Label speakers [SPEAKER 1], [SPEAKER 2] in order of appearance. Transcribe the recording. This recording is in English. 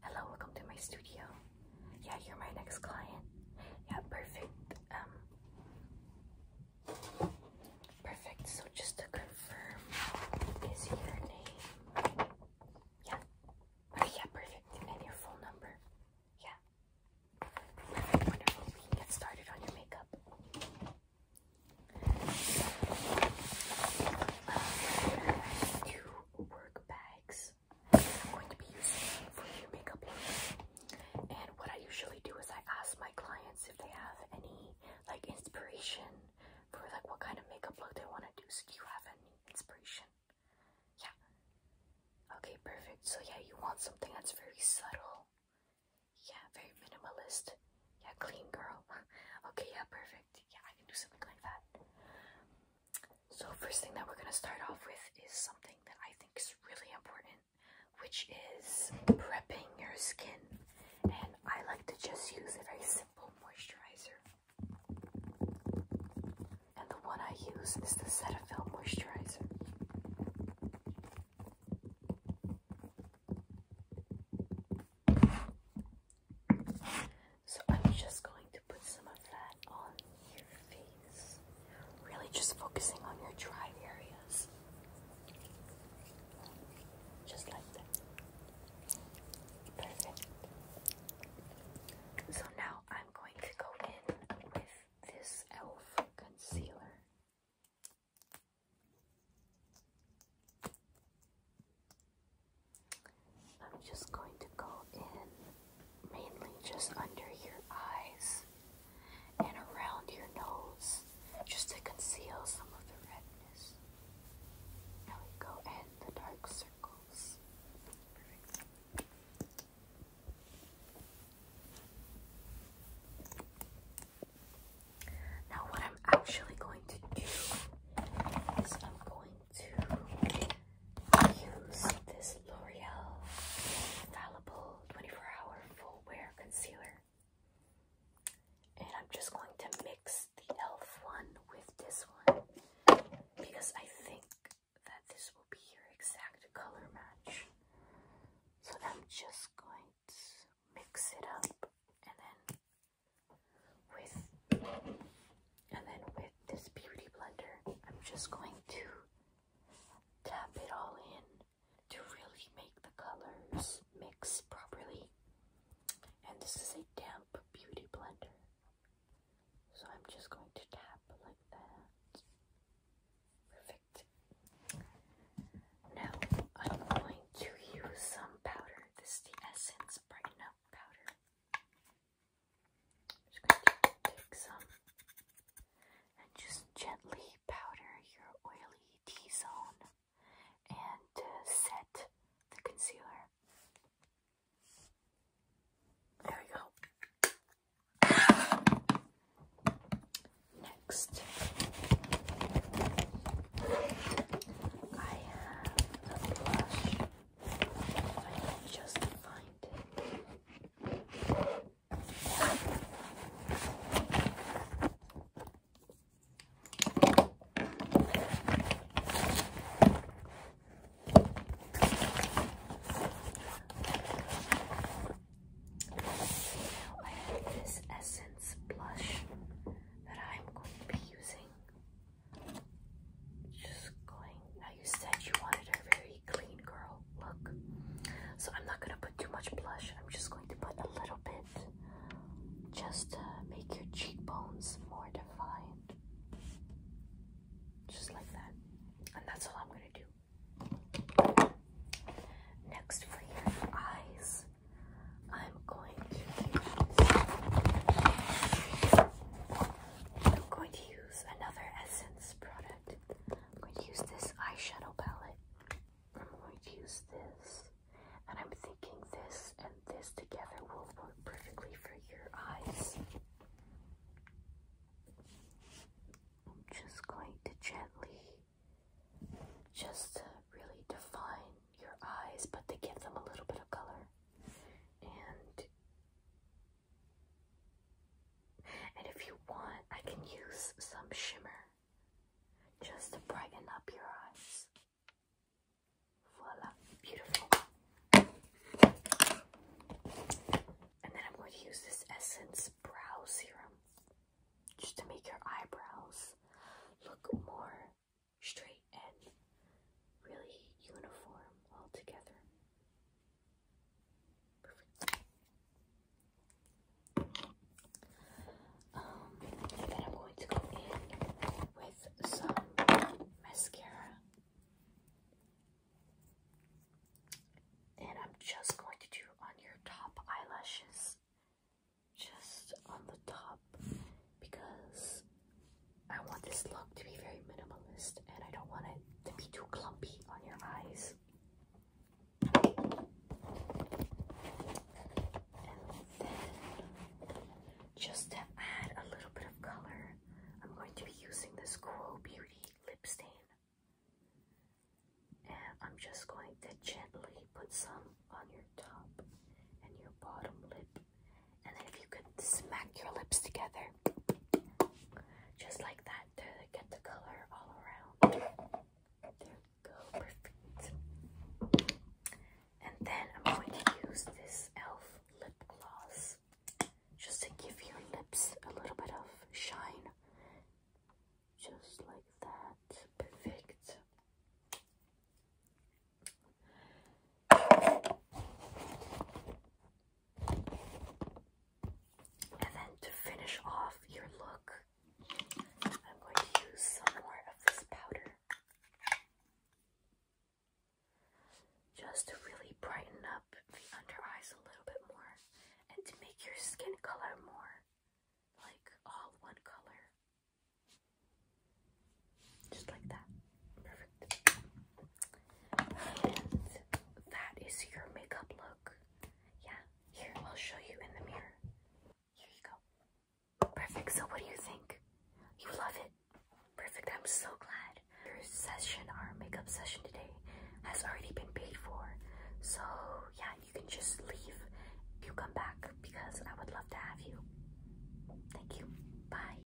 [SPEAKER 1] Hello, welcome to my studio. Yeah, you're my next client. Yeah, perfect. Um, perfect. So just to confirm, is your name? Yeah. yeah, perfect. And your phone number? Yeah. Wonderful. We can get started on your makeup. Uh, two work bags. I'm going to be using for your makeup look. And what I usually do is I ask my clients if they have any like inspiration for like what kind of makeup look they want to do. So do you have any inspiration? Yeah. Okay, perfect. So yeah, you want something that's very subtle. Yeah, very minimalist. Yeah, clean girl. okay, yeah, perfect. Yeah, I can do something like that. So first thing that we're going to start off with is something that I think is really important, which is prepping your skin. And I like to just use a very simple moisturizer. And the one I use is the Cetaphil moisturizer. So I'm just going to put some of that on your face. Really just focusing on your dry areas. Just like that. Perfect. So now I'm going to go in with this e.l.f. concealer. I'm just going to go in mainly just under your eyes and around your nose just to conceal some of the redness. Now we go in the dark circles. Now what I'm actually going to do is I'm going to use this L'Oreal Infallible 24 Hour Full Wear Concealer. And I'm just going to mix the e.l.f. one with this one because I think that this will be your exact color match. So I'm just going to mix it up and then with and then with this beauty blender I'm just going to tap it all in to really make the colors mix properly and this is a damp beauty blender so I'm just going to tap like that perfect now I'm going to use some powder this is the essence brighten up powder just take some and just gently powder your oily T-zone and uh, set the concealer. There we go. Next, I have a blush I can find it. Now I have this essence blush that I'm going to be using. Just going. Now you said you wanted a very clean girl look. So I'm not gonna put too much blush. I'm just going to put a little bit just to make your cheekbones more defined. Just like that. And that's all I'm gonna do. Next for your eyes, I'm going to use I'm going to use another Essence product. I'm going to use this eyeshadow palette. I'm going to use this. And I'm thinking this and this together will work perfectly for your eyes. I'm just going to gently, just to really define your eyes, but to give them a little bit of color. And and if you want, I can use some shimmer just to brighten up your eyes. Voila, beautiful. And then I'm going to use this Essence Brow Serum just to make your eyebrows look more straight and really uniform all together. Um, then I'm going to go in with some mascara. And I'm just going to do on your top eyelashes, just on the top, because I want this look to be very minimalist and I don't want it to be too clumpy on your eyes. just to add a little bit of color, I'm going to be using this Grow Beauty lip stain. And I'm just going to gently put some on your top and your bottom lip. And then if you could smack your lips together, just like that, to get the color all around. There we go, perfect. And then I'm going to use this e.l.f. lip gloss just to give your lips a little bit of shine. Just like that, perfect. And then to finish off your look, I'm going to use some more of this powder just to really brighten up the under eyes a little bit more and to make your skin color more like all one color. Just like that. Perfect. And that is your makeup look. Yeah, here, I'll show you in the mirror. Here you go. Perfect. So, what do you think? You love it? Perfect. I'm so glad. Your session, our makeup session today, has already been paid for. So, yeah, you can just leave. You come back because I would love to have you. Thank you. Bye.